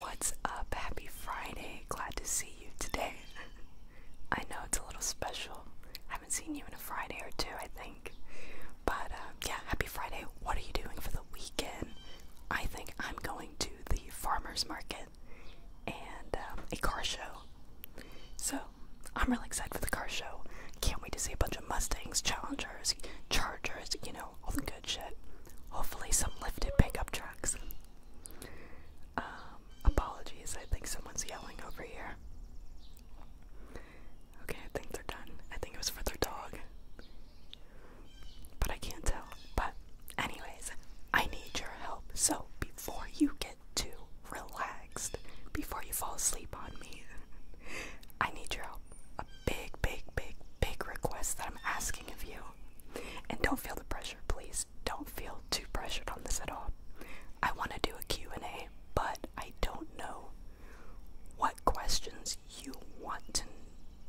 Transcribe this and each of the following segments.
What's up? Happy Friday. Glad to see you today. I know it's a little special. I haven't seen you in a Friday or two, I think. But um, yeah, happy Friday. What are you doing for the weekend? I think I'm going to the farmer's market and um, a car show. So I'm really excited for the car show. Can't wait to see a bunch of Mustangs, Challengers, Chargers, you know, all the good shit. Hopefully, some lifted pickup trucks. Um, apologies, I think someone's yelling over here. Okay, I think they're done. I think it was for their dog. But I can't tell. But, anyways, I need your help. So, before you get too relaxed, before you fall asleep on me, I need your help. A big, big, big, big request that I'm asking of you. And don't feel the pressure, please. Don't feel too pressured on this at all. I want to do a Q&A, but I don't know what questions you want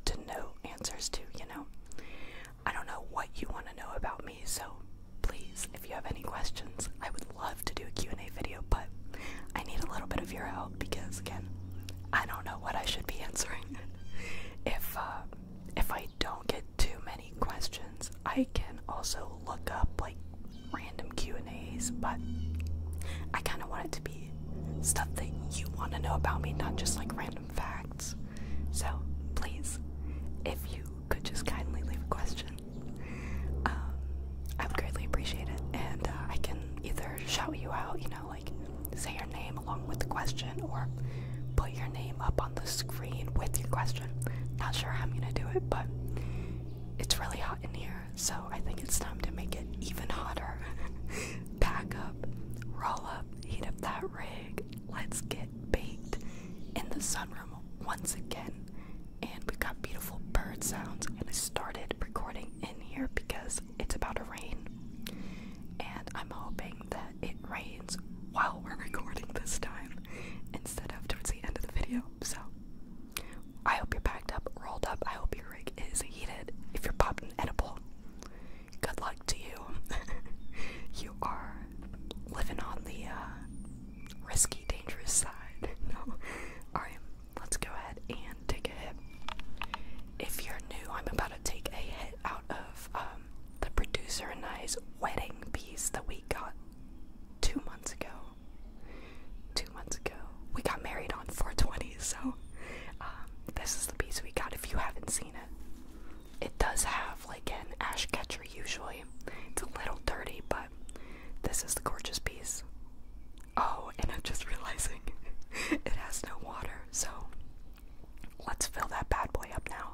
to to know answers to, you know. I don't know what you want to know about me, so please, if you have any questions, I would love to do a Q&A video, but I need a little bit of your help because again, I don't know what I should be answering. if uh, if I don't get too many questions, I can also look up like random Q and A's. But I kind of want it to be stuff that you want to know about me, not just like random facts. So please, if you could just kindly leave a question, um, I would greatly appreciate it, and uh, I can either shout you out, you know, like say your name along with the question or put your name up on the screen with your question. Not sure how I'm gonna do it, but it's really hot in here, so I think it's time to make it even hotter. Pack up, roll up, heat up that rig. Let's get baked in the sunroom once again. And we got beautiful bird sounds, and I started recording in here because it's about to rain. And I'm hoping that it rains while we're recording this time instead of towards the end of the video. So I hope you're packed up, rolled up. I hope your rig is heated. If you're popping edible, good luck to you. you are living on the uh, risky, dangerous side. no. Alright, let's go ahead and take a hit. If you're new, I'm about to take a hit out of um, um, the producer and I's wedding piece that we got two months ago. Two months ago. We got married on 420, so um, this is the piece we got if you haven't seen it. It does have like an ash catcher usually. It's a little dirty, but this is the gorgeous piece. Oh, and I'm just realizing it has no water, so Let's fill that bad boy up now.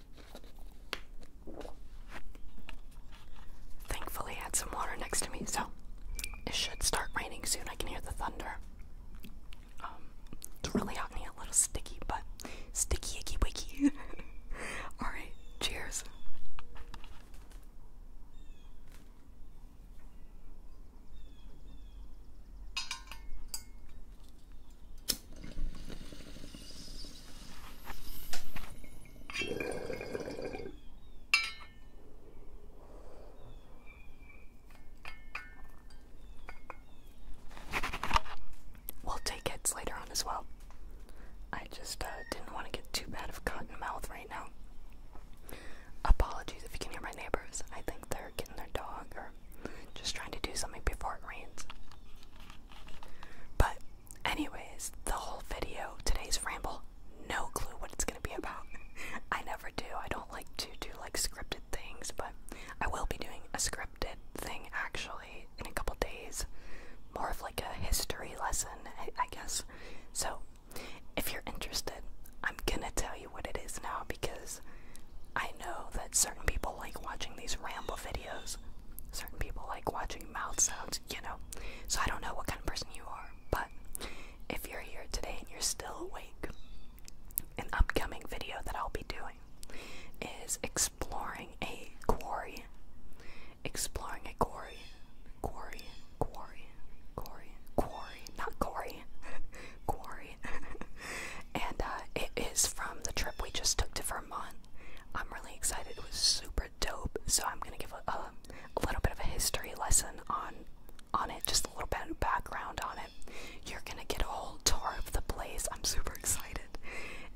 Thankfully, I had some water next to me, so it should start raining soon. I can hear the thunder. Um, it's really hot and a little sticky, but sticky, icky, wicky. Alright, cheers. We'll take heads later on as well. I just uh, didn't want to get too bad of cotton mouth right now. Apologies if you can hear my neighbors. I think they're getting their dog or just trying to do something before it rains. But, anyways, the whole video, today's ramble, no clue what it's gonna be about. I never do. I don't like to do like scripted things, but I will be doing a scripted thing actually in a couple days. More of like a history lesson, I guess. So, if you're interested, I'm gonna tell you what it is now because I know that certain people like watching these ramble videos. Certain people like watching mouth sounds, you know. So I don't know what kind of person you are, but if you're here today and you're still awake, an upcoming video that I'll be doing is exploring a quarry. Exploring a quarry. Quarry. Quarry. Quarry. Quarry. Not quarry. quarry. and uh, it is from the trip we just took to Vermont a I'm really excited. It was super dope. So I'm gonna give a, a little bit of a history lesson on on it, just a little bit of background on it. You're gonna get a whole tour of the place. I'm super excited,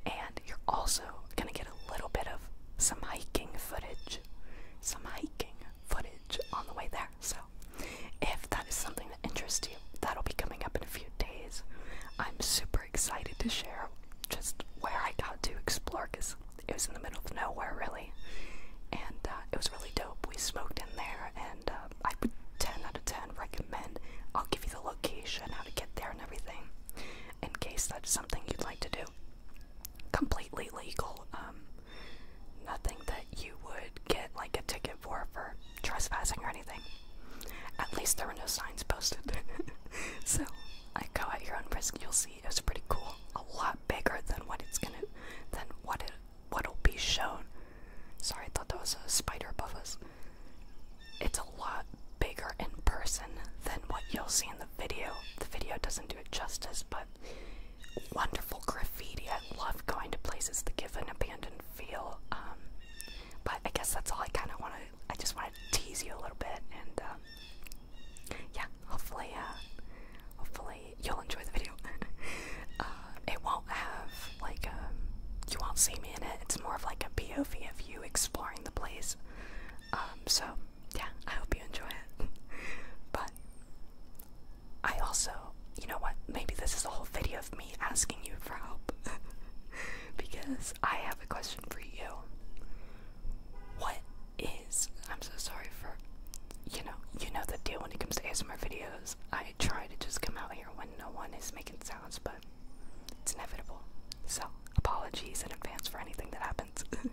and you're also gonna get a little bit of some hiking footage, some hiking footage on the way there. So if that is something that interests you, that'll be coming up in a few days. I'm super excited to share just where I got to explore because it was in the middle of nowhere, really. And uh, it was really dope. We smoked in there, and uh, I would 10 out of 10 recommend. I'll give you the location, how to get there, and everything in case that's something you'd like to do. Completely legal. Um, nothing that you would get like a ticket for for trespassing or anything. At least there were no signs posted. so I go at your own risk. You'll see it's pretty cool. A lot bigger than what it's gonna than what it what'll be shown. Sorry, I thought that was a spider above us. It's a lot bigger in person than what you'll see in the video. The video doesn't do it justice, but wonderful graffiti. I love going to places that give an abandoned feel. Um, but I guess that's all I kind of want to. I just want to tease you a little bit, and um, yeah, hopefully, uh, hopefully you'll enjoy the video. uh, it won't have like um, you won't see me in it. It's more of like a POV of you exploring the place. Um, so yeah, I hope you enjoy it. but I also, you know what? Maybe this is a whole video of me asking you for help. because I have a question for you. What is I'm so sorry for you know, you know the deal when it comes to ASMR videos. I try to just come out here when no one is making sounds, but it's inevitable. So apologies in advance for anything that happens.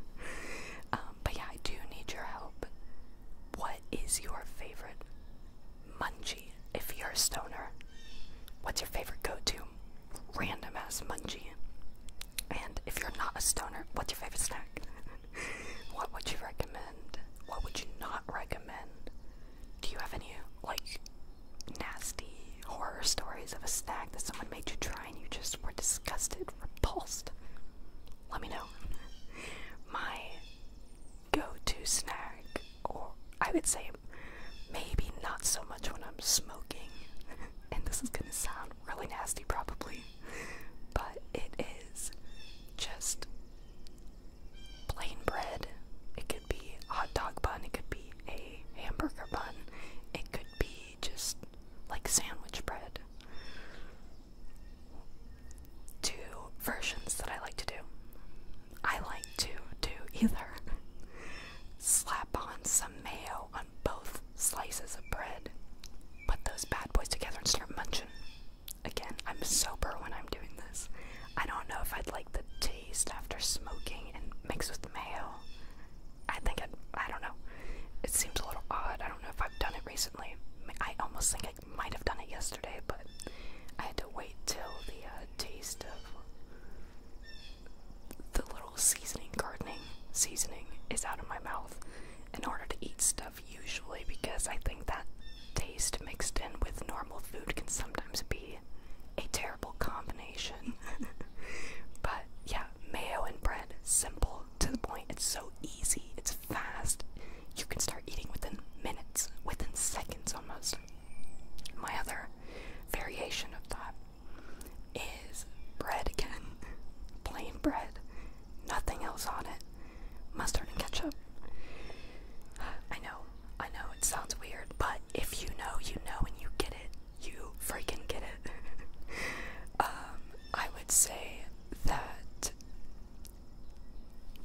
Um, but yeah, I do need your help. What is your favorite munchie if you're a stoner. What's your favorite go to? Random ass munchie. And if you're not a stoner, what's your favorite snack? what would you recommend? What would you not recommend? Do you have any, like, nasty horror stories of a snack that someone made you try and you just were disgusted, repulsed? Let me know. My go to snack, or I would say Maybe not so much when I'm smoking. and this is gonna sound really nasty, probably. But it is just plain bread. It could be a hot dog bun, it could be a hamburger bun, it could be just like sandwich bread. Two versions that I like to do. I like to do either. Slap on some mayo on both slices of bread. Put those bad boys together and start munching. Again, I'm sober when I'm doing this. I don't know if I'd like the taste after smoking and mixed with mayo. I think I'd, it. i do not know. It seems a little odd. I don't know if I've done it recently. I almost think I might have done it yesterday, but I had to wait till the uh, taste of the little seasoning gardening seasoning is out of my mouth in order to eat stuff usually because I think that taste mixed in with normal food can sometimes be a terrible combination. but yeah, mayo and bread, simple to the point. It's so easy, it's fast. You can start eating within minutes, within seconds almost. My other variation of that is bread again. Plain bread. Nothing else on it. Mustard and ketchup. I know, I know, it sounds weird, but if you know, you know, and you get it. You freaking get it. um, I would say that.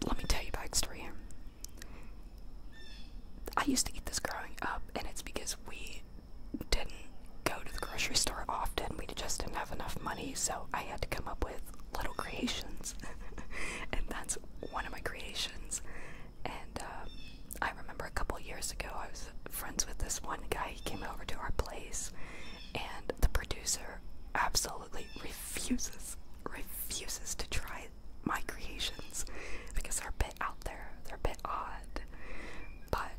Let me tell you backstory. I used to eat this growing up, and it's because we didn't go to the grocery store often. We just didn't have enough money, so I had to come up with little creations. and that's one of my creations. And um, I remember a couple years ago, I was friends with this one guy. He came over to our place, and the producer absolutely refuses refuses to try my creations because they're a bit out there, they're a bit odd. But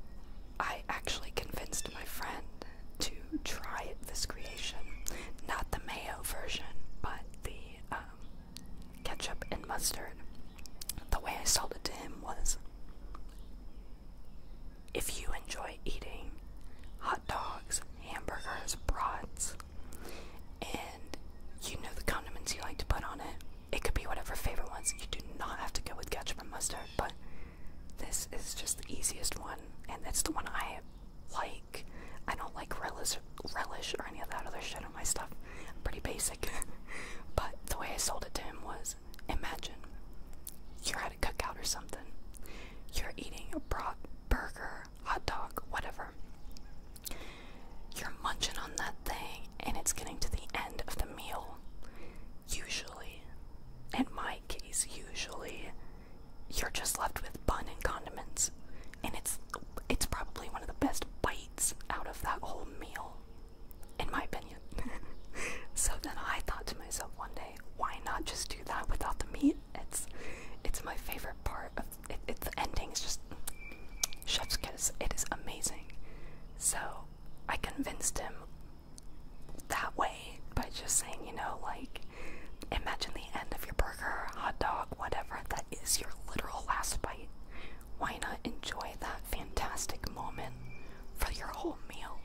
I actually convinced my friend to try this creation. Not the mayo version, but the um, ketchup and mustard. The way I sold it to him was if you enjoy eating hot dogs, hamburgers, brats, and you know the condiments you like to put on it, it could be whatever favorite ones. You do not have to go with ketchup and mustard, but this is just the easiest one, and it's the one I like. I don't like relish, relish or any of that other shit on my stuff. pretty basic. but the way I sold it to him was imagine you're at a cookout or something. You're eating a brat, burger, hot dog, whatever. You're munching on that thing and it's getting to the end of the meal. Usually, in my case, usually, you're just left with bun and condiments. And it's it's probably one of the best bites out of that whole meal, in my opinion. so then I thought to myself one day, why not just do that without the meat? It's it's my favorite part of it, the ending is just chef's kiss. It is amazing. So I convinced him that way by just saying, you know, like, imagine the end of your burger, hot dog, whatever. That is your literal last bite. Why not enjoy that fantastic moment for your whole meal?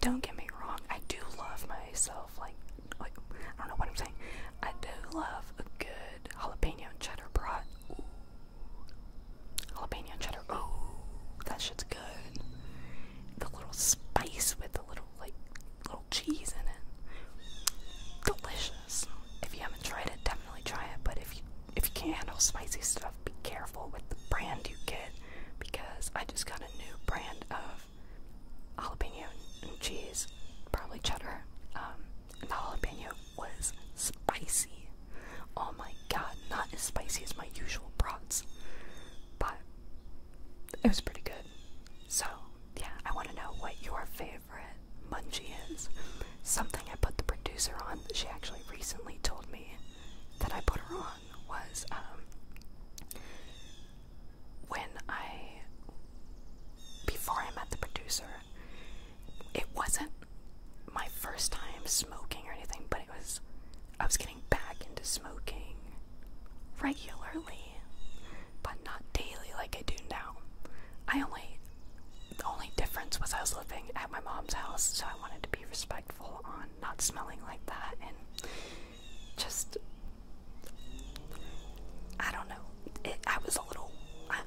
Don't get me wrong, I do love myself, like, like I don't know what I'm saying. I do love a good jalapeno cheddar brat. Jalapeno cheddar. Oh, that shit's good. The little spice with the little like little cheese in it. Delicious. If you haven't tried it, definitely try it. But if you if you can't handle spicy stuff, be careful with the brand you get because I just got a new brand of jalapeno cheese, probably cheddar, um, and jalapeno was spicy. Oh my god, not as spicy as my usual brots, but it was pretty good. So, yeah, I want to know what your favorite munchie is. Something I put the producer on, she actually recently told me that I put her on, was um, when I, before I met the producer, it wasn't my first time smoking or anything, but it was I was getting back into smoking regularly, but not daily like I do now. I only the only difference was I was living at my mom's house, so I wanted to be respectful on not smelling like that and just I don't know. I was a little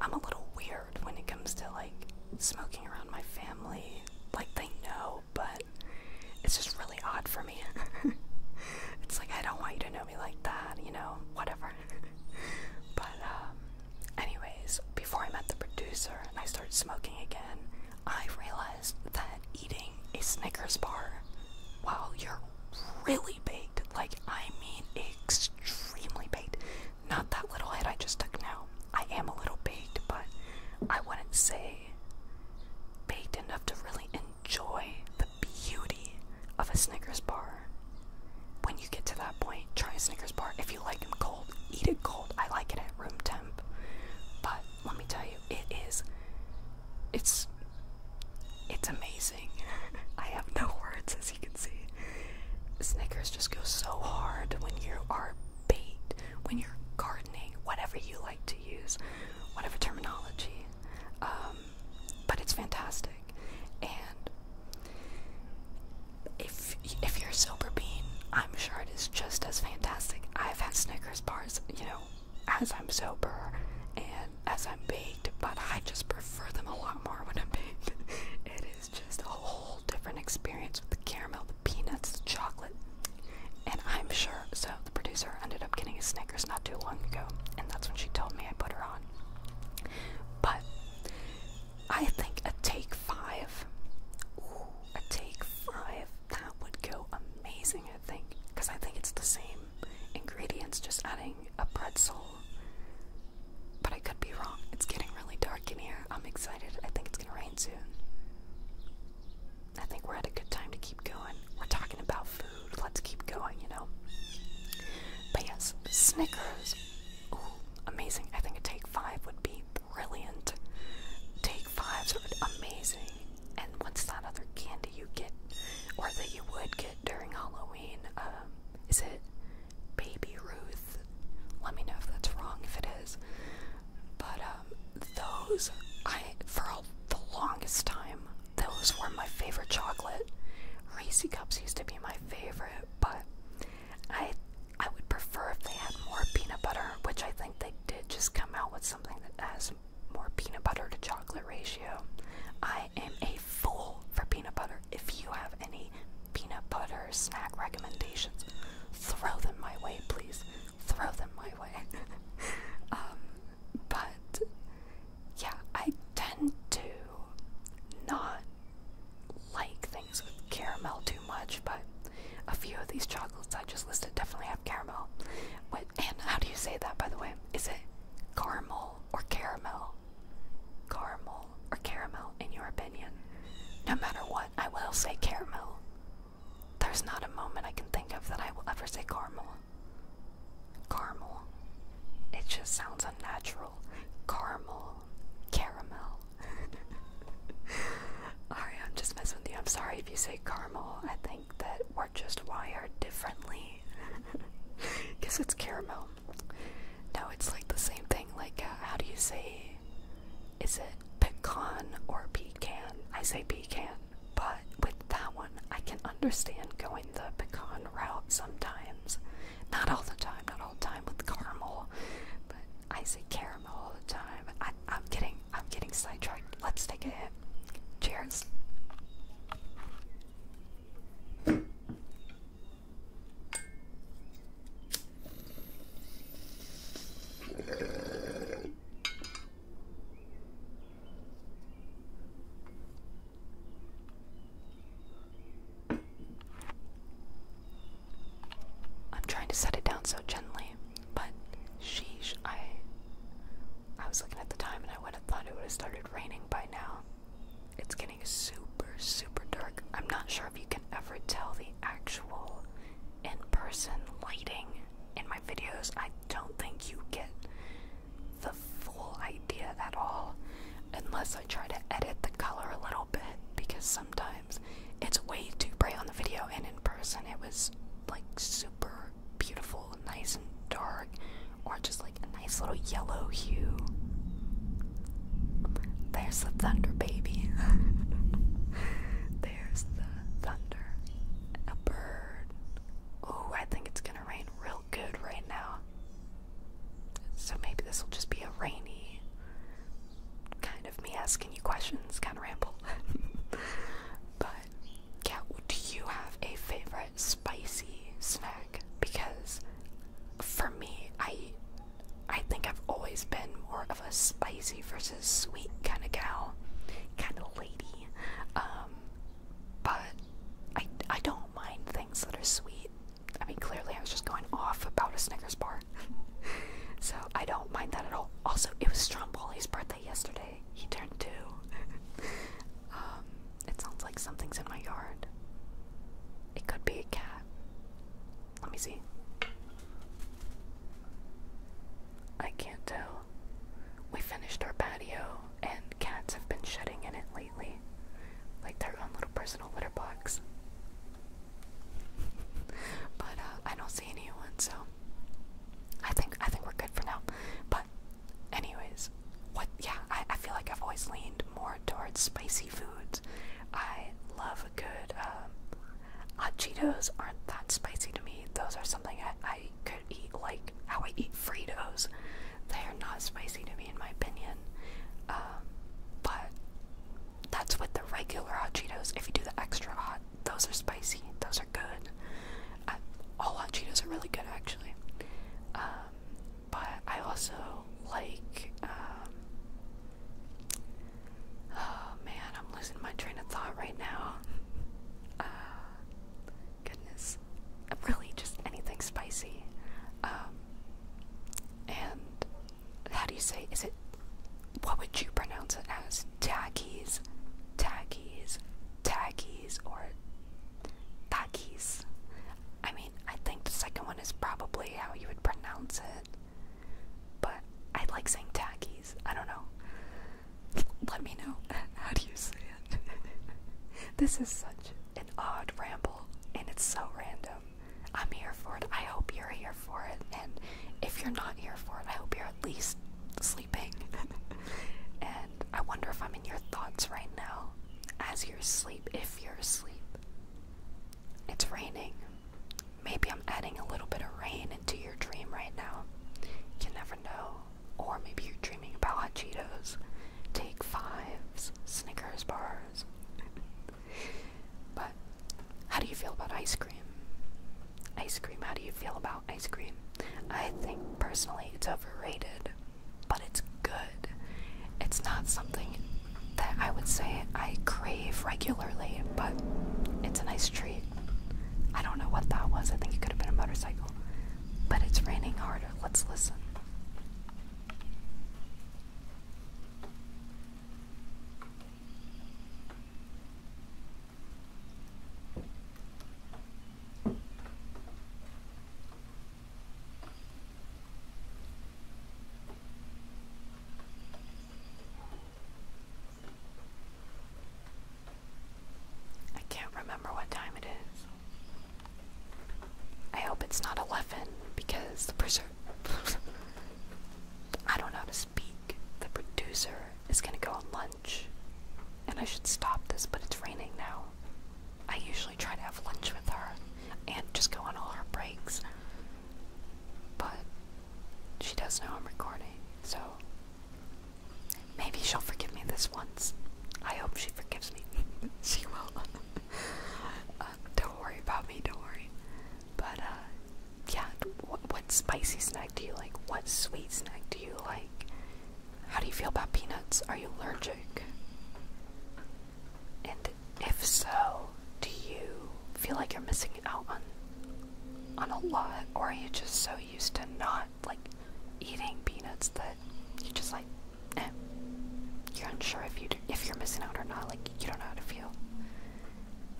I'm a little weird when it comes to like smoking around my family. Like they know, but it's just really odd for me. it's like I don't want you to know me like that, you know, whatever. but um, anyways, before I met the producer and I started smoking again, I realized that eating a Snickers bar while you're really baked, like I mean extremely baked, not that little head I just took now. I am a little baked, but I wouldn't say baked enough to really enjoy the beauty of a Snickers bar. When you get to that point, try a Snickers bar. If you like them cold, eat it cold. I like it at room temp. But let me tell you, it is it's it's amazing. I have no words as you can Snickers just go so hard when you are baked, when you're gardening, whatever you like to use, whatever terminology. Um, but it's fantastic. And if if you're a silver bean, I'm sure it is just as fantastic. I've had Snickers bars, you know, as I'm sober and as I'm baked, but I just prefer them a lot more when I'm baked. It's just a whole different experience with the caramel, the peanuts, the chocolate. And I'm sure, so the producer ended up getting a Snickers not too long ago, and that's when she told me I put her on. But I think a take five, a take five, that would go amazing, I think, because I think it's the same ingredients, just adding a pretzel but I could be wrong. It's getting really dark in here. I'm excited. I think it's gonna rain soon. I think we're at a good time to keep going. We're talking about food. Let's keep going, you know? But yes, Snickers. Ooh, amazing. I think a take five would be brilliant. Take fives are amazing. And what's that other candy you get, or that you would get during Halloween? Um, is it Baby Ruth. Let me know if that's wrong, if it is. But um, those, I for a, the longest time, those were my favorite chocolate. Reese cups used to be my favorite, but I I would prefer if they had more peanut butter, which I think they did just come out with something that has more peanut butter to chocolate ratio. I am a fool for peanut butter. If you have any peanut butter snack recommendations, throw them my way, please. Throw them my way. um, but yeah, I tend to not like things with caramel too much, but a few of these chocolates I just listed definitely have caramel. What, and how do you say that, by the way? Is it caramel or caramel? Caramel or caramel in your opinion? No matter what, I will say caramel. There's not a moment I can think of that I will ever say caramel. Caramel. It just sounds unnatural. Caramel. Caramel. Alright, I'm just messing with you. I'm sorry if you say caramel. I think that we're just wired differently. Because it's caramel. No, it's like the same thing. Like, uh, how do you say, is it pecan or pecan? I say pecan, but with that one, I can understand going the pecan route sometimes. Not all the time, not all the time with caramel, but I say caramel all the time. I, am getting, I'm getting sidetracked. Let's take a hit. Cheers. I'm trying to set it down so gently, but sheesh, I I was looking at the time and I would have thought it would have started raining by now. It's getting so super, super dark. I'm not sure if you can ever tell the actual in person lighting in my videos. I don't think you get the full idea at all unless I try to edit the color a little bit because sometimes it's way too bright on the video and in person it was like super beautiful, nice and dark, or just like a nice little yellow hue. There's the thunder, baby. There's the thunder. A bird. Oh, I think it's gonna rain real good right now. So maybe this will just be a rainy kind of me asking you questions, kind of ramble. but yeah, do you have a favorite spicy snack? Because for me, I I think I've always been more of a spicy versus sweet kind of gal, kind of lady. Um, but I, I don't mind things that are sweet. I mean, clearly I was just going off about a Snickers bar. so I don't mind that at all. Also, it was Stromboli's birthday yesterday. He turned two. Um, it sounds like something's in my yard. It could be a cat. Let me see. I can't tell. We finished our patio, and cats have been shedding in it lately, like their own little personal litter box. but uh, I don't see anyone, so I think I think we're good for now. But anyways, what? Yeah, I, I feel like I've always leaned more towards spicy food I love a good, um, hot Cheetos aren't that spicy to me. Those are something I, could eat like how I eat Fritos. They are not spicy to me in my opinion. Um, but that's with the regular hot Cheetos. If you do the extra hot, those are spicy. Those are good. I, all hot Cheetos are really good actually. Um, but I also like um, Oh man, I'm losing my train of thought right now. Uh, goodness. Really, just anything spicy. Um, and how do you say, is it, what would you pronounce it as? Taggies, taggies, taggies, or taggies? I mean, I think the second one is probably how you would pronounce it. But I like saying tackies. I don't know. Let me know. How do you say it? this is such an odd ramble, and it's so random. I'm here for it. I hope you're here for it. And if you're not here for it, I hope you're at least sleeping. and I wonder if I'm in your thoughts right now as you're asleep, if you're asleep. It's raining. Maybe I'm adding a little bit of rain into your dream right now. You never know. Or maybe you're dreaming about hot Cheetos, Take Fives, Snickers bars. but how do you feel about ice cream? Ice cream, how do you feel about ice cream? I think personally it's overrated, but it's good. It's not something that I would say I crave regularly, but it's a nice treat. I don't know what that was. I think it could have been a motorcycle. But it's raining harder. Let's listen. I can't remember what time it is. I hope it's not 11 because the producer. I don't know how to speak. The producer is gonna go on lunch. And I should stop this, but it's raining now. I usually try to have lunch with her and just go on all her breaks. But she does know I'm recording, so maybe she'll forgive me this once. I hope she forgives me. she will. Uh, don't worry about me, don't worry. But, uh, yeah, what, spicy snack do you like? What sweet snack do you like? How do you feel about peanuts? Are you allergic? If so, do you feel like you're missing out on on a lot, or are you just so used to not like eating peanuts that you just like, eh, you're unsure if you if you're missing out or not. Like you don't know how to feel.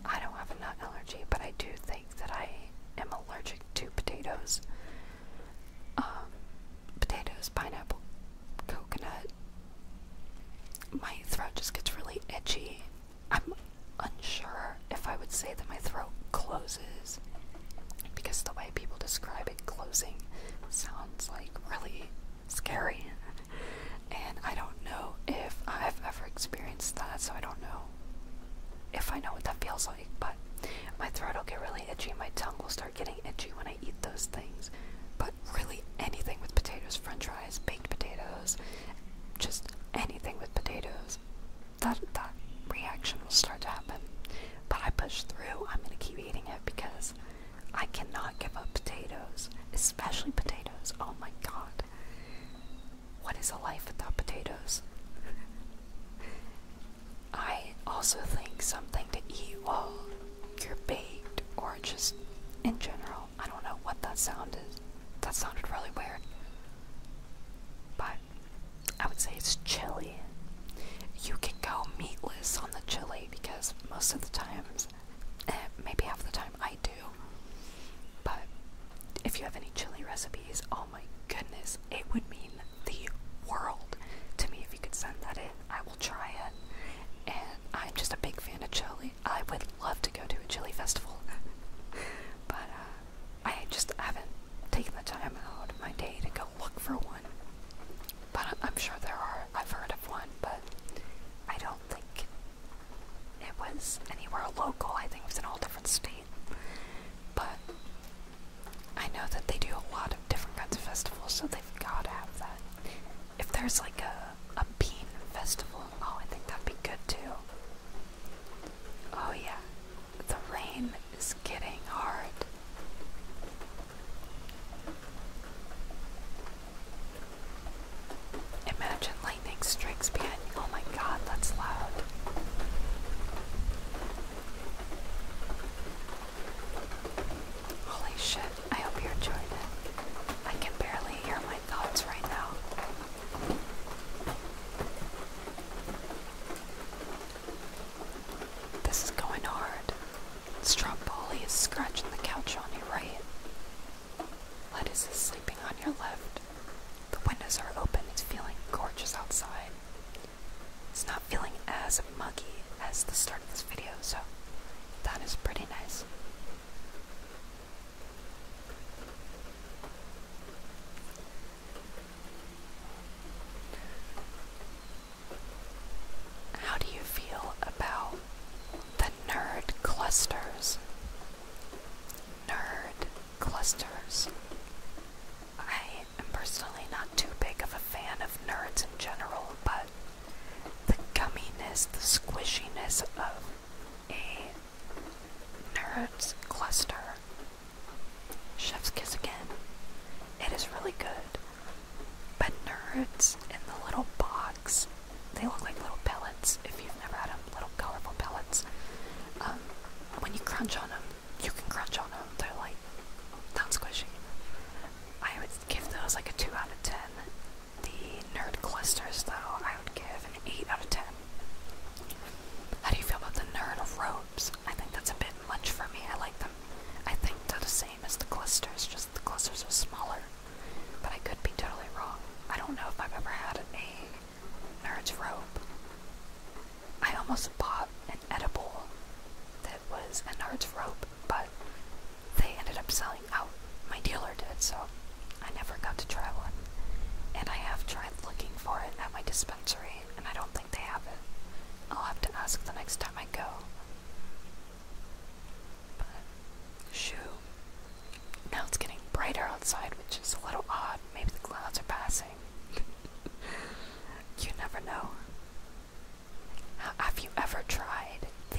I don't have a nut allergy, but I do think that I am allergic to potatoes. Um, potatoes, pineapple, coconut. My throat just gets really itchy I'm unsure if I would say that my throat closes because the way people describe it closing sounds like really scary. And I don't know if I've ever experienced that, so I don't know if I know what that feels like. But my throat will get really itchy, my tongue will start getting itchy when I eat those things. But really, anything with potatoes, french fries, baked potatoes, just anything with potatoes, that that reaction will start to happen. But I push through. I'm gonna keep eating it because I cannot give up potatoes, especially potatoes. Oh my god, what is a life without potatoes? I also think something to eat while you're baked or just in general I don't know what that sound is. That sounded really weird. But I would say it's chili. You can go meatless on the chili because most of the times, eh, maybe half the time, I do. But if you have any chili recipes, oh my goodness, it would mean the world to me if you could send that in. I will try it. And I'm just a big fan of chili honestly, I would love to go to a chili festival, but uh, I just haven't taken the time out of my day to go look for one. But I'm sure there are. I've heard of one, but I don't think it was anywhere local. I think it was in all different state. But I know that they do a lot of different kinds of festivals, so they've got to have that. If there's like a, a bean festival, oh, I think that'd be good too. Oh, yeah, the rain is getting hard. Imagine lightning strikes behind me. Oh my god, that's loud. Holy shit, I hope you're it. I can barely hear my thoughts right now. This is going hard. Stromboli is scratching the couch on your right. Lettuce is sleeping on your left. The windows are open. It's feeling gorgeous outside. It's not feeling as muggy as the start of this video, so that is pretty nice. How do you feel about the nerd clusters? Nerd clusters. I am personally not too big of a fan of nerds in general, but the gumminess, the squishiness of a Nerds Cluster. Chef's Kiss again. It is really good. But nerds in the little box, they look like little pellets if you've never had them, little colorful pellets. Um, when you crunch on them, you can crunch on them. They're like, not squishy. I would give those like a 2 out of 10. The nerd clusters, though, I would give an 8 out of 10. How do you feel about the nerd robes? I think that's a bit much for me. I like them. I think they're the same as the clusters, just the clusters are smaller. But I could be totally wrong. I don't know if I've ever had a nerd's robe. I almost bought an edible that was a nerd's robe, but they ended up selling out. My dealer did, so I never got to try one. And I have tried looking for it at my dispensary, and I don't think they have it. I'll have to ask the next time I go. But, shoo. Now it's getting brighter outside, which is a little odd. Maybe the clouds are passing. you never know. Have you ever tried the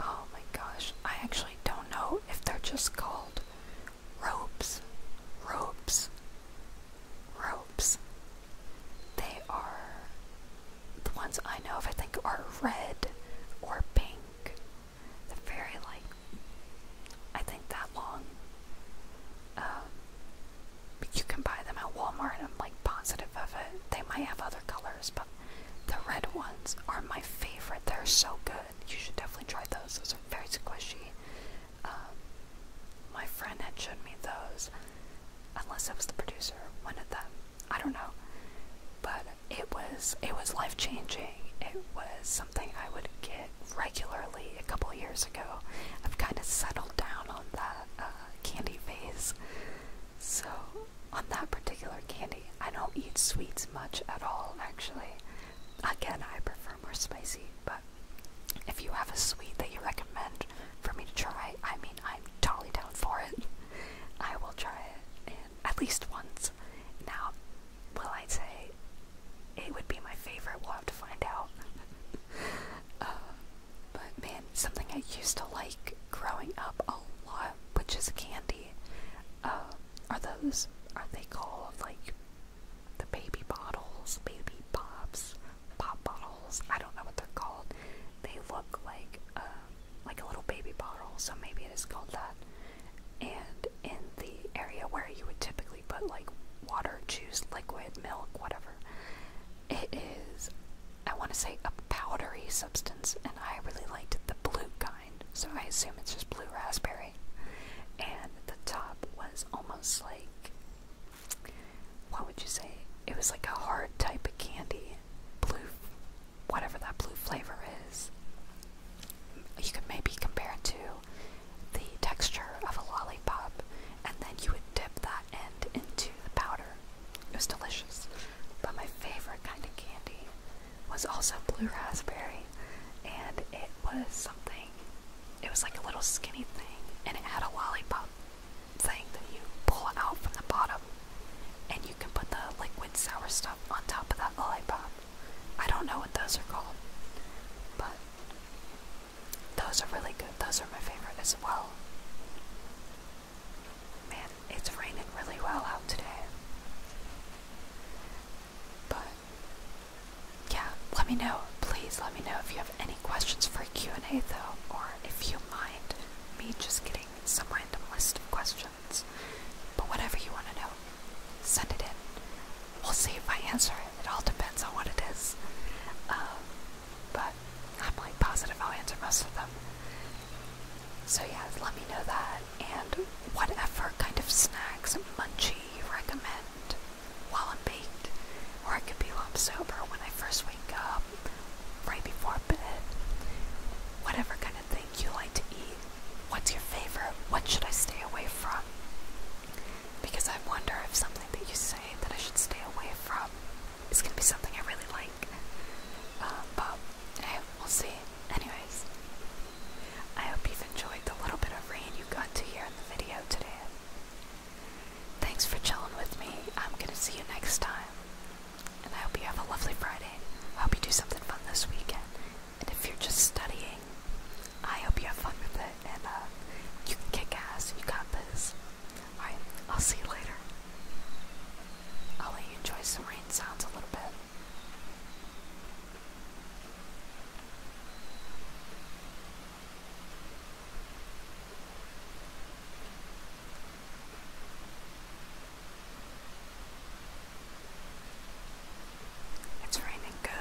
Oh my gosh, I actually don't know if they're just called ropes, ropes, ropes. They are, the ones I know of, I think, are red or pink. the very, like, I think that long. Um, you can buy them at Walmart, I'm like positive of it. They might have other colors, but the red ones are my favorite. They're so good you should definitely try those. Those are very squishy. Um, my friend had shown me those, unless it was the producer, one of them. I don't know, but it was it was life changing. It was something I would get regularly a couple years ago. I've kind of settled down on that uh, candy phase, so on that particular candy I don't eat sweets much at all, actually. Again, I prefer more spicy, but if you have a sweet that you recommend for me to try, I mean, I'm totally down for it. I will try it at least once. Now, will I say it would be my favorite? We'll have to find out. Uh, but man, something I used to like growing up a lot, which is candy. Um, are those, are they called like the baby bottles, baby pops, pop bottles? I don't know what they're called. They look like, um, like a little baby bottle, so maybe it is called that. And in the area where you would typically put like water, juice, liquid, milk, whatever, it is, I want to say, a powdery substance, and I really liked the blue kind so I assume it's just blue raspberry. And the top was almost like what would you say? It was like a hard type of candy, blue, whatever that blue flavor is. You could maybe compare it to the texture of a lollipop, and then you would dip that end into the powder. It was delicious. But my favorite kind of candy was also blue raspberry, and it was something. It was like a little skinny thing, and it had a lollipop thing that you pull out from the bottom, and you can put the liquid sour stuff on top of that lollipop. I don't know what those are called, but those are really good. Those are my favorite as well. Man, it's raining really well out today. But yeah, let me know. Please let me know if you have any questions for a Q&A though, or if you mind me just getting some random list of questions. But whatever you want to know, send it in. We'll see if I answer it. It all depends on what it is. Um, but I'm like positive I'll answer most of them. So yeah, let me know that and whatever kind of snacks munchie you recommend while I'm baked, or I could be while I'm sober when I first wake up, right before bed, whatever kind of thing you like to eat. What's your favorite? What should I stay away from? Because I wonder if something that you say that I should stay away from is going to be something I really like. Uh, but hey, eh, we'll see. Anyways, I hope you've enjoyed the little bit of rain you got to hear in the video today. Thanks for chilling with me. I'm going to see you next time. And I hope you have a lovely Friday. I hope you do something fun this weekend. And if you're just studying, I hope you have fun with it. And uh, you can kick ass. You got this. Alright, I'll see you later. I'll let you enjoy some rain sounds a little bit. It's raining good.